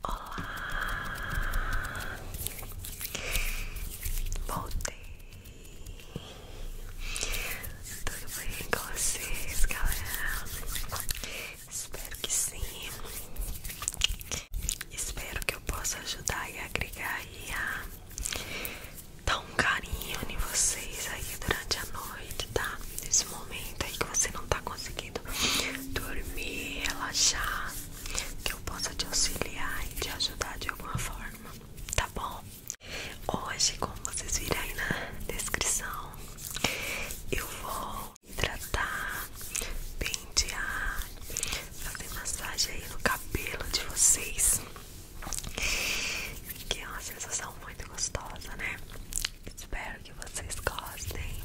Olá, voltei tudo bem com vocês, galera? Espero que sim. Espero que eu possa ajudar e agregar e a dar um carinho em vocês aí durante a noite, tá? Nesse momento aí que você não tá conseguindo dormir, relaxar, que eu possa te auxiliar e te ajudar de alguma forma, tá bom? Hoje, como vocês viram aí na descrição, eu vou hidratar, pentear, fazer massagem aí no cabelo de vocês, que é uma sensação muito gostosa, né? Espero que vocês gostem.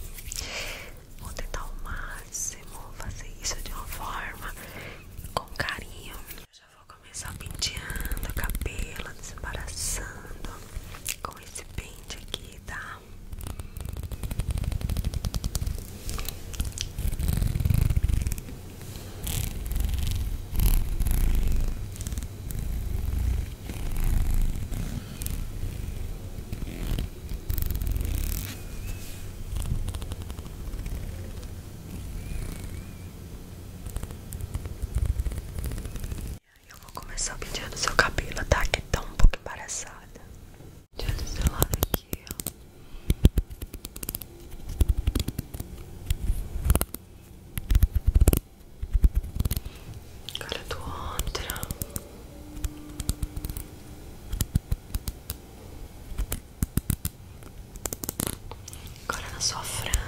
Vou tentar ao máximo fazer isso de uma forma com carinho. Já vou começar penteando o cabelo, desembaraçando com esse pente aqui, tá? Eu vou começar penteando seu cabelo, tá? Que tá um pouco embaraçada. Penteando seu lado aqui, ó. Cara do outro. Agora na sua franja.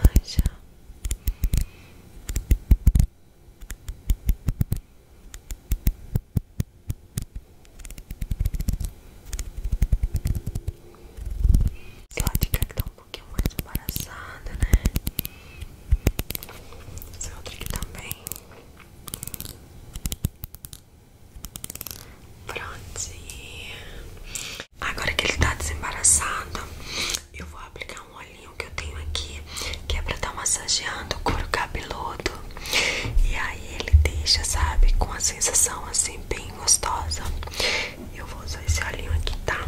Eu acho que tá um pouquinho mais embaraçada, né? Essa é outra aqui também. Prontinho. Agora que ele tá desembaraçado, eu vou aplicar um olhinho que eu tenho aqui, que é pra estar tá massageando o couro cabeludo. E aí ele deixa, sabe, com a sensação assim bem gostosa. Eu vou usar esse olhinho aqui, tá?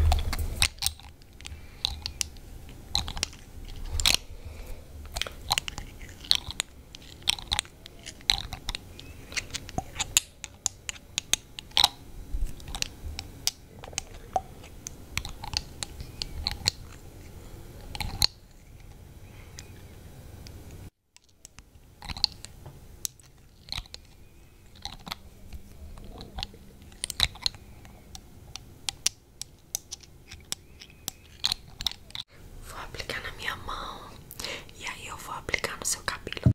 Vou aplicar na minha mão e aí eu vou aplicar no seu cabelo.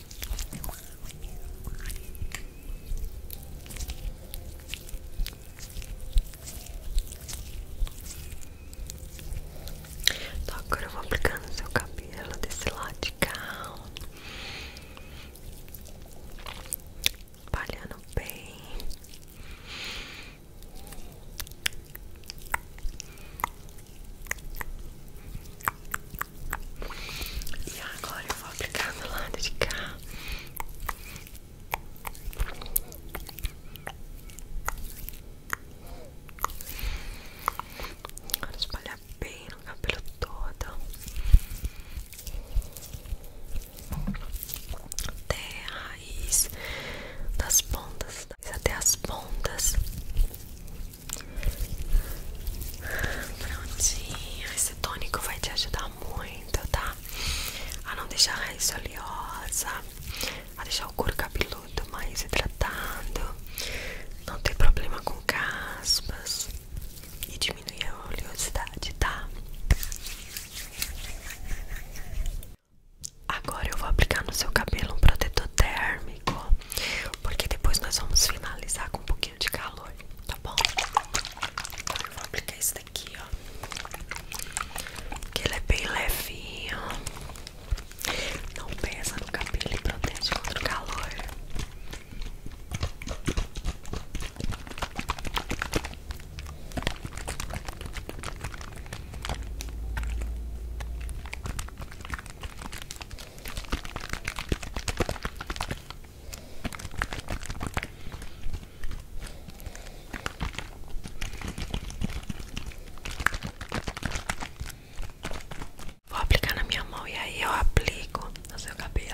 então agora eu vou aplicar no seu cabelo desse lado de cá Palhando bem e agora eu vou aplicar do lado de cá. Agora espalhar bem no cabelo todo. Até a raiz das pontas, até as pontas. Prontinho, esse tônico vai te ajudar muito, tá? A não deixar a raiz oleosa, a deixar o couro cabeludo mais hidratado, não ter problema com caspas e diminuir a oleosidade, tá? Agora eu vou aplicar no seu cabelo um protetor térmico, porque depois nós vamos finalizar com um pouquinho de calor, tá bom? Agora eu vou aplicar esse daqui, ó. Que ele é bem levinho. Não pesa no cabelo e protege contra calor. Vou aplicar na minha mão e aí eu aplico no seu cabelo.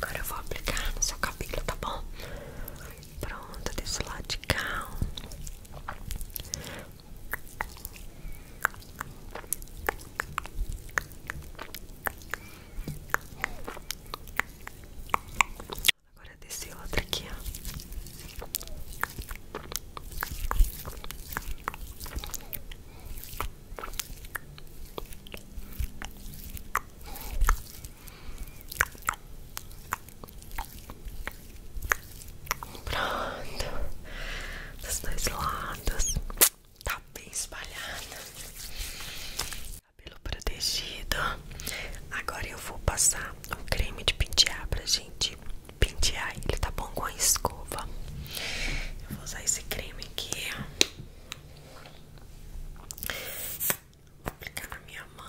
Agora eu vou aplicar no seu cabelo, tá bom? Pronto, desse lado de cá. Agora desse outro aqui, ó. Pronto, dos dois lados, tá bem espalhada. Cabelo protegido. Agora eu vou passar o creme de pentear pra gente pentear ele, tá bom? Com a escova. Eu vou usar esse creme aqui. Vou aplicar na minha mão.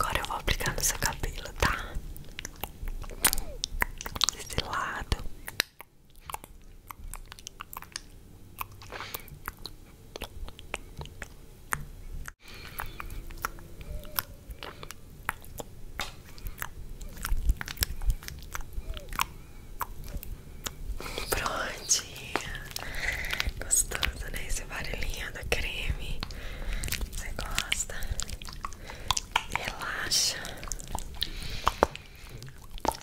Agora eu vou aplicar no seu cabelo, tá? Desse lado. Prontinha, gostoso, né? Esse barulhinho do creme. Você gosta? Relaxa.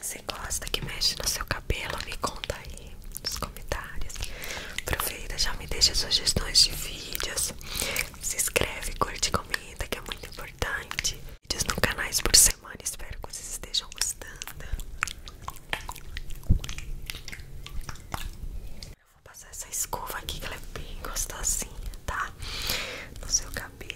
Você gosta que mexe no seu cabelo? Me conta aí nos comentários. Aproveita, já me deixa sugestões de vídeos. Se inscreve, curte e comenta que é muito importante. Vídeos no canal por semana. Espero que vocês estejam gostando. vou passar essa escova aqui que ela é bem gostosinha, tá? No seu cabelo.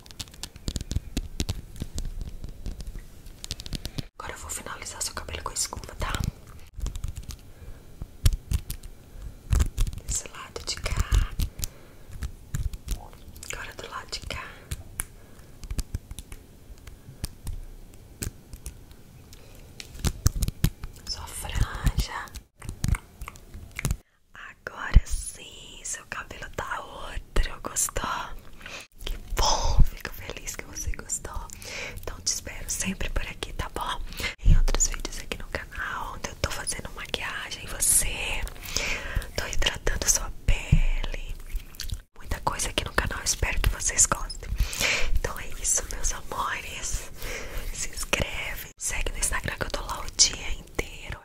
Agora eu vou finalizar seu cabelo com a escova, tá? Desse lado de cá. Agora do lado de cá. Só franja. Agora sim, seu cabelo tá outro, gostou? Que bom, fico feliz que você gostou. Então te espero sempre por aqui, tá bom? Em outros vídeos aqui no canal, onde eu tô fazendo maquiagem, você, tô hidratando sua pele, muita coisa aqui no canal, espero que vocês gostem. Então é isso, meus amores. Se inscreve, segue no Instagram que eu tô lá o dia inteiro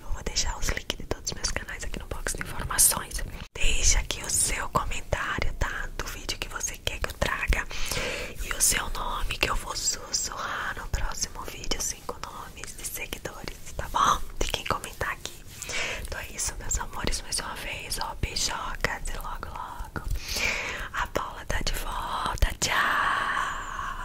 eu vou deixar os links de todos os meus canais aqui no box de informações. Deixa aqui o seu comentário, tá? Do vídeo que você quer que eu traga. E o seu nome que eu vou sussurrar no próximo vídeo. Cinco nomes de seguidores, tá bom? De quem comentar aqui. Então é isso, meus amores. Mais uma vez, ó, beijocas e logo, logo. A Paula tá de volta. Tchau!